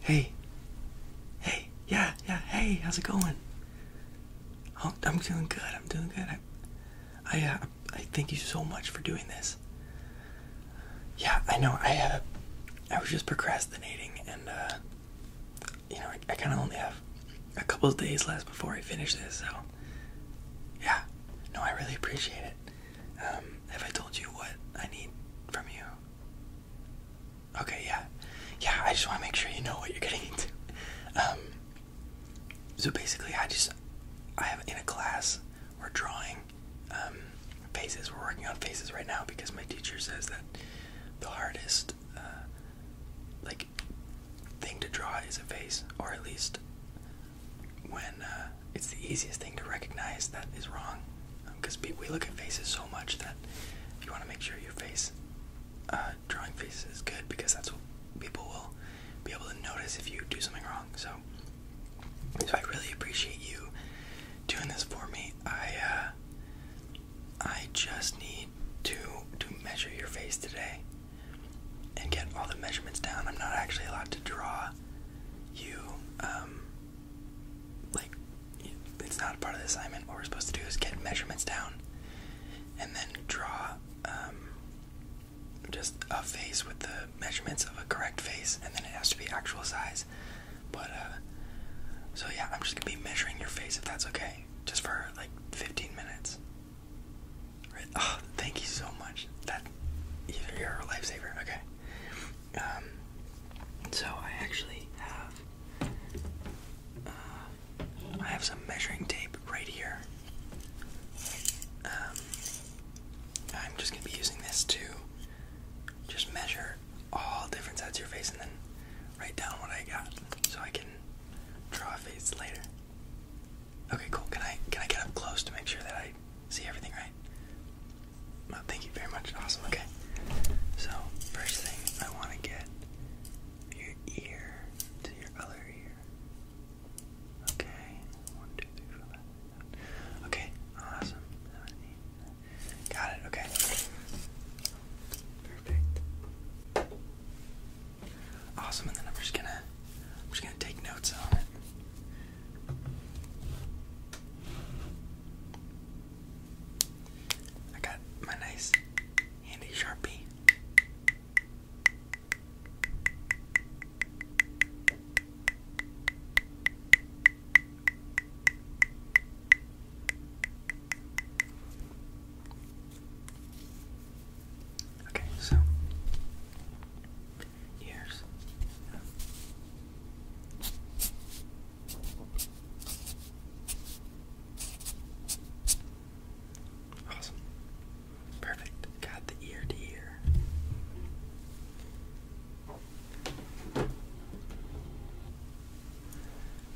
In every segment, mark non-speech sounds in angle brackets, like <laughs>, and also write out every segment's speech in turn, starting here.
Hey. Hey. Yeah, yeah. Hey, how's it going? Oh, I'm doing good. I'm doing good. I I, uh, I thank you so much for doing this. Yeah, I know. I had uh, a, I was just procrastinating and uh, you know, I, kind of only have a couple days left before I finish this, so yeah. No, I really appreciate it. Um, have I told you what I need from you? Okay, yeah. Yeah, I just want to make sure you know what you're getting into. Um, so basically, I just, I have in a class, we're drawing um, faces. We're working on faces right now because my teacher says that the hardest, uh, like, thing to draw is a face, or at least when uh, it's the easiest thing to recognize that is wrong, because um, we look at faces so much that if you want to make sure your face uh, drawing faces is good, because that's what people will be able to notice if you do something wrong. So, so I really appreciate you doing this for me. I uh, I just need to to measure your face today and get all the measurements down. I'm not actually allowed to draw you um, like it's not part of the assignment. What we're supposed to do is get measurements down and then draw um, just a face with the measurements of a correct face and then it has to be actual size. But uh, so yeah, I'm just gonna be measuring your face if that's okay. Just for like 15 minutes. Oh, thank you so much. That either you're a lifesaver. Okay. Um. So I actually have. Uh, I have some measuring tape right here. Um. I'm just gonna be using this to just measure all different sides of your face and then write down what I got so I can draw a face later. Okay, cool. Can I can I get up close to make sure that I see everything right? Well, thank you very much. Awesome. Okay. So first thing I want to get your ear to your other ear. Okay. One, two, three, four, five, six, seven. Okay. Awesome. Got it. Okay. Perfect. Awesome, and then I'm just gonna I'm just gonna take notes on it. I got my nice handy sharpie. Okay, so Ears. Awesome. Perfect. Got the ear to ear.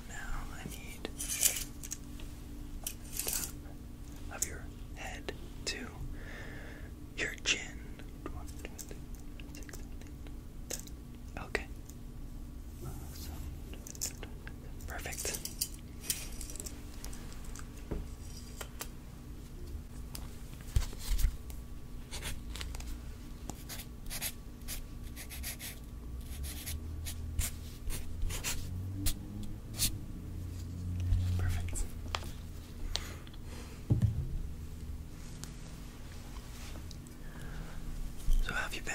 Now I need of your head to your chin. Okay. Perfect. Perfect. So, how have you been?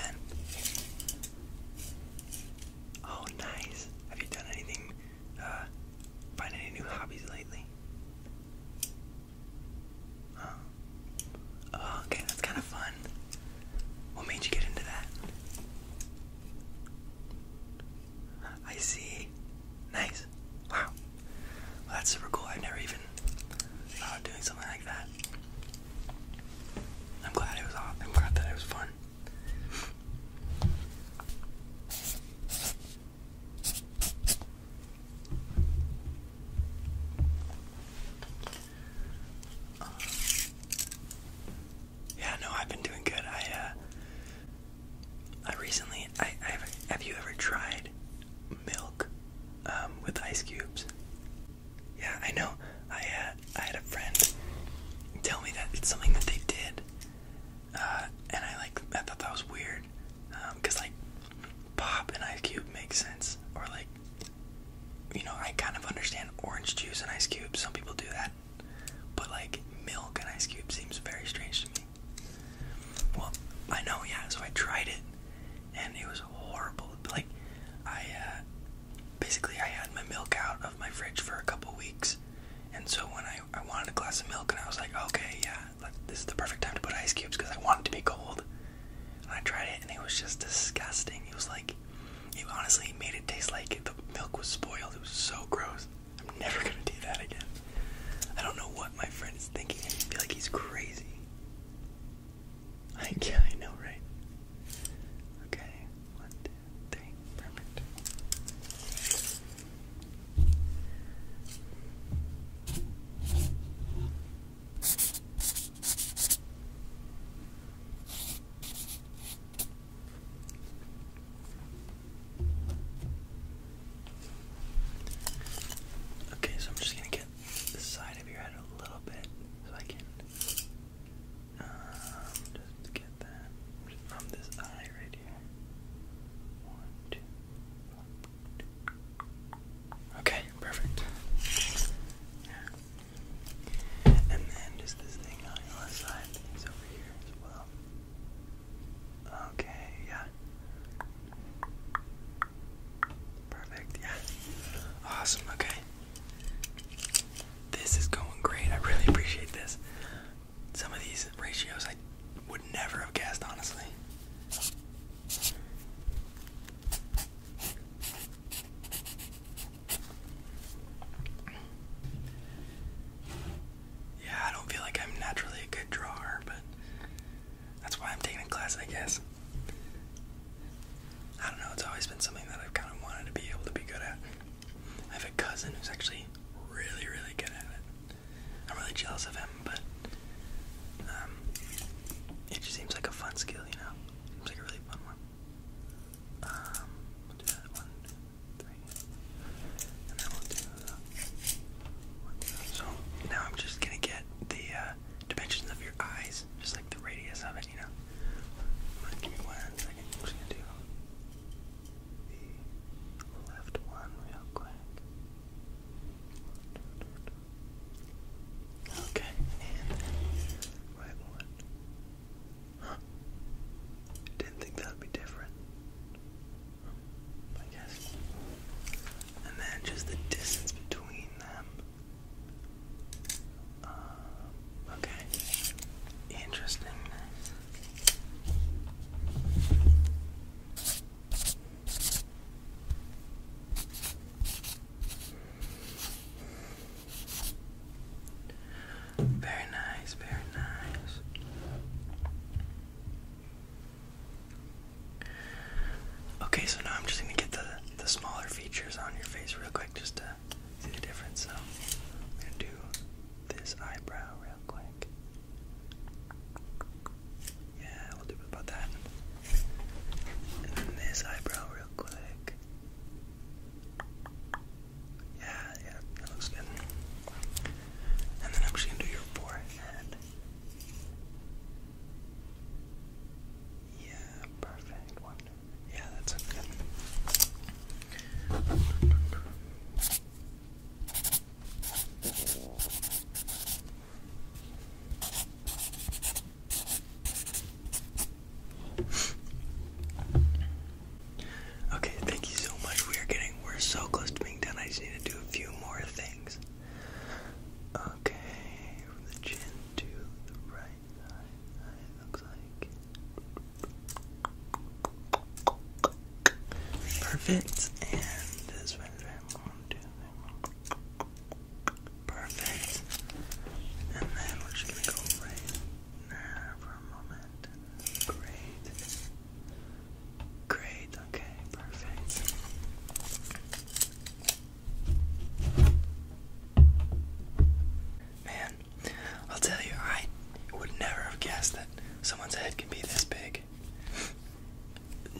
Oh, nice. Have you done anything, uh, find any new hobbies lately? Oh, oh okay, that's kind of fun. What made you get into that? I see. Nice. Wow. that's super cool. i never even thought of doing something like that. I'm glad it was off. I'm glad that it was fun yeah, no, I've been doing good. I uh, I recently, I, I have, you ever tried milk um, with ice cubes? Yeah, I know. I had uh, I had a friend tell me that it's something that they did, uh, and I like I thought that was weird, because um, like pop and ice cube makes sense, or like you know, I kind of understand orange juice and ice cubes. Some people do that. But like milk and ice cubes seems very strange to me. Well, I know, yeah. So I tried it, and it was horrible. Like, I uh, basically I had my milk out of my fridge for a couple weeks, and so when I I wanted a glass of milk, and I was like, okay, yeah, this is the perfect time to put ice cubes because I want it to be cold. And I tried it, and it was just disgusting. It was like it honestly made it taste like the milk was spoiled. It was so gross. I'm never gonna do that again. I don't know what my friend is thinking. I feel like he's crazy. I know, right? Okay, one, two, three, perfect. Okay, so I'm just gonna get the side of your head a little bit so I can um, just get that from this eye right here. One, two, one, two. Okay, perfect. Yeah. And then just this thing on your left side is over here as well. Okay, yeah. Perfect, yeah. Awesome, okay. This is going great. I really appreciate this. Some of these ratios I would never have guessed, honestly. Yeah, I don't feel like I'm naturally a good drawer, but that's why I'm taking a class, I guess. I don't know, it's always been something that I've kind of wanted to be able to be good at. I have a cousin who's actually really, really good at it. I'm really jealous of him, but um, it just seems like a fun skill, you know? Seems like a really fun one. Um, uh, so now I'm just gonna get the uh, dimensions of your eyes, just like the radius of it, you know? Give me one second. I'm just gonna do the left one real quick. Okay, right one. Huh. Didn't think that'd be different. I guess. And then just the distance between them. Um, okay. Interesting. Very nice, very nice. Okay, so now I'm just gonna get the the smaller features on your face real quick just to see the difference. So I'm gonna do this eyebrow real quick. Yeah, we'll do about that. And then this eyebrow real quick. Yeah, yeah, that looks good. And then I'm just gonna do your forehead. Yeah, perfect one. Yeah, that's good. Okay, thank you so much. We are getting we're so close to being done. I just need to do a few more things. Okay, from the chin to the right eye, looks like perfect. And this one Perfect. And then we're just gonna go right there for a moment. Great. Great, okay, perfect. Man, I'll tell you, I would never have guessed that someone's head can be this big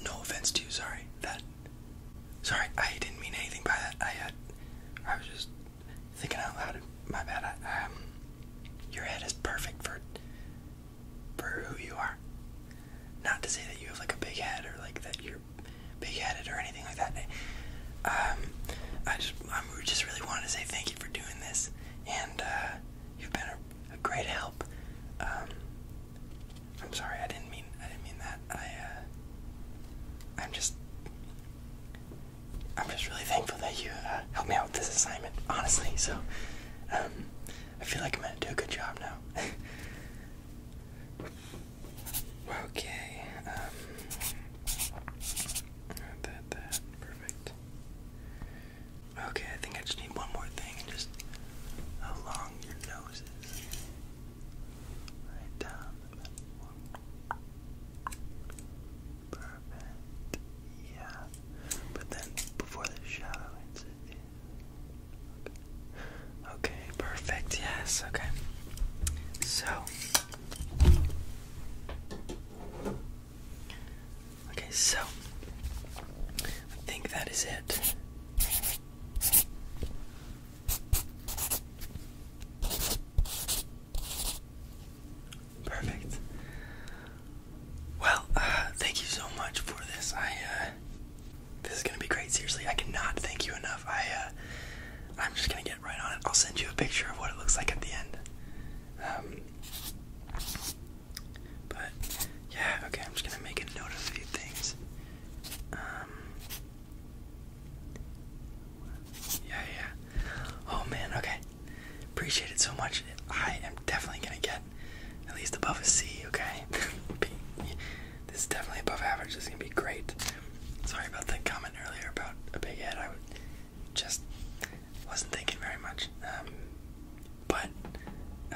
no offense to you, sorry. That sorry, I didn't mean anything by that. I had I was just thinking out loud. My bad. um your head is perfect for for who you are. Not to say that you have like a big head or like that you're big headed or anything like that. Um I just I just really wanted to say thank you for doing this and uh, you've been a a great help. Um, I'm sorry, I didn't mean I didn't mean that. I uh, I'm just I'm just really thankful that you uh, helped me out with this assignment, honestly. So um, I feel like I'm gonna do a good job now. <laughs> okay. Um, that that perfect. Okay, I think I just need one more thing and just how long your nose is. Right down Perfect. Yeah. But then before the shadow hits Okay. okay, perfect. Yes, okay. So Okay, so I think that is it. Perfect. Well, uh, thank you so much for this. I uh, this is gonna be great. Seriously, I cannot thank you enough. I uh, I'm just gonna get right on it. I'll send you a picture of what it looks like at the end. Um, but yeah, okay, I'm just gonna make a note of a few things. Um, yeah, yeah. Oh man, okay. Appreciate it so much. I am definitely gonna get at least above a C, okay? <laughs> this is definitely above average, this is gonna be great. Sorry about the comment earlier about a big head. I would just wasn't thinking very much. Um, but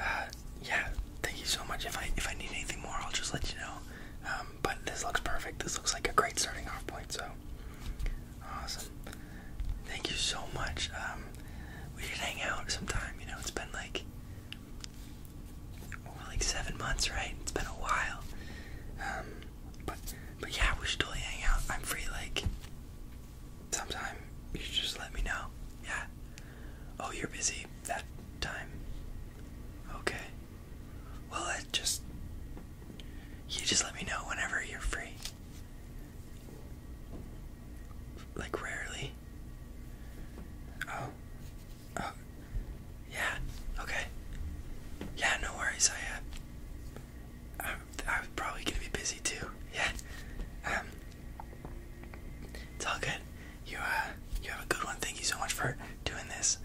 uh, yeah, thank you so much. If I if I need anything more, I'll just let you know. Um, but this looks perfect. This looks like a great starting off point. So awesome. Thank you so much. Um, we should hang out sometime. You know, it's been like well, like seven months, right? It's been a while. but but yeah, we should totally hang out. I'm free like sometime you just let me know. Yeah. Oh, you're busy that time. Okay. Well, it just. You just let me know whenever you're free. Like, rarely. Oh. Oh. Yeah. Okay. Yeah, no worries. I, uh. I'm, probably gonna be busy too. Yeah. Um, it's all good. You uh, you have a good one. Thank you so much for doing this.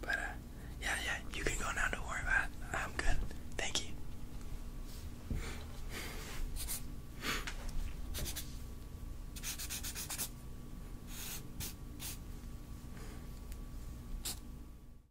But uh, yeah, yeah, you can go now. Don't worry about I'm good. Thank you.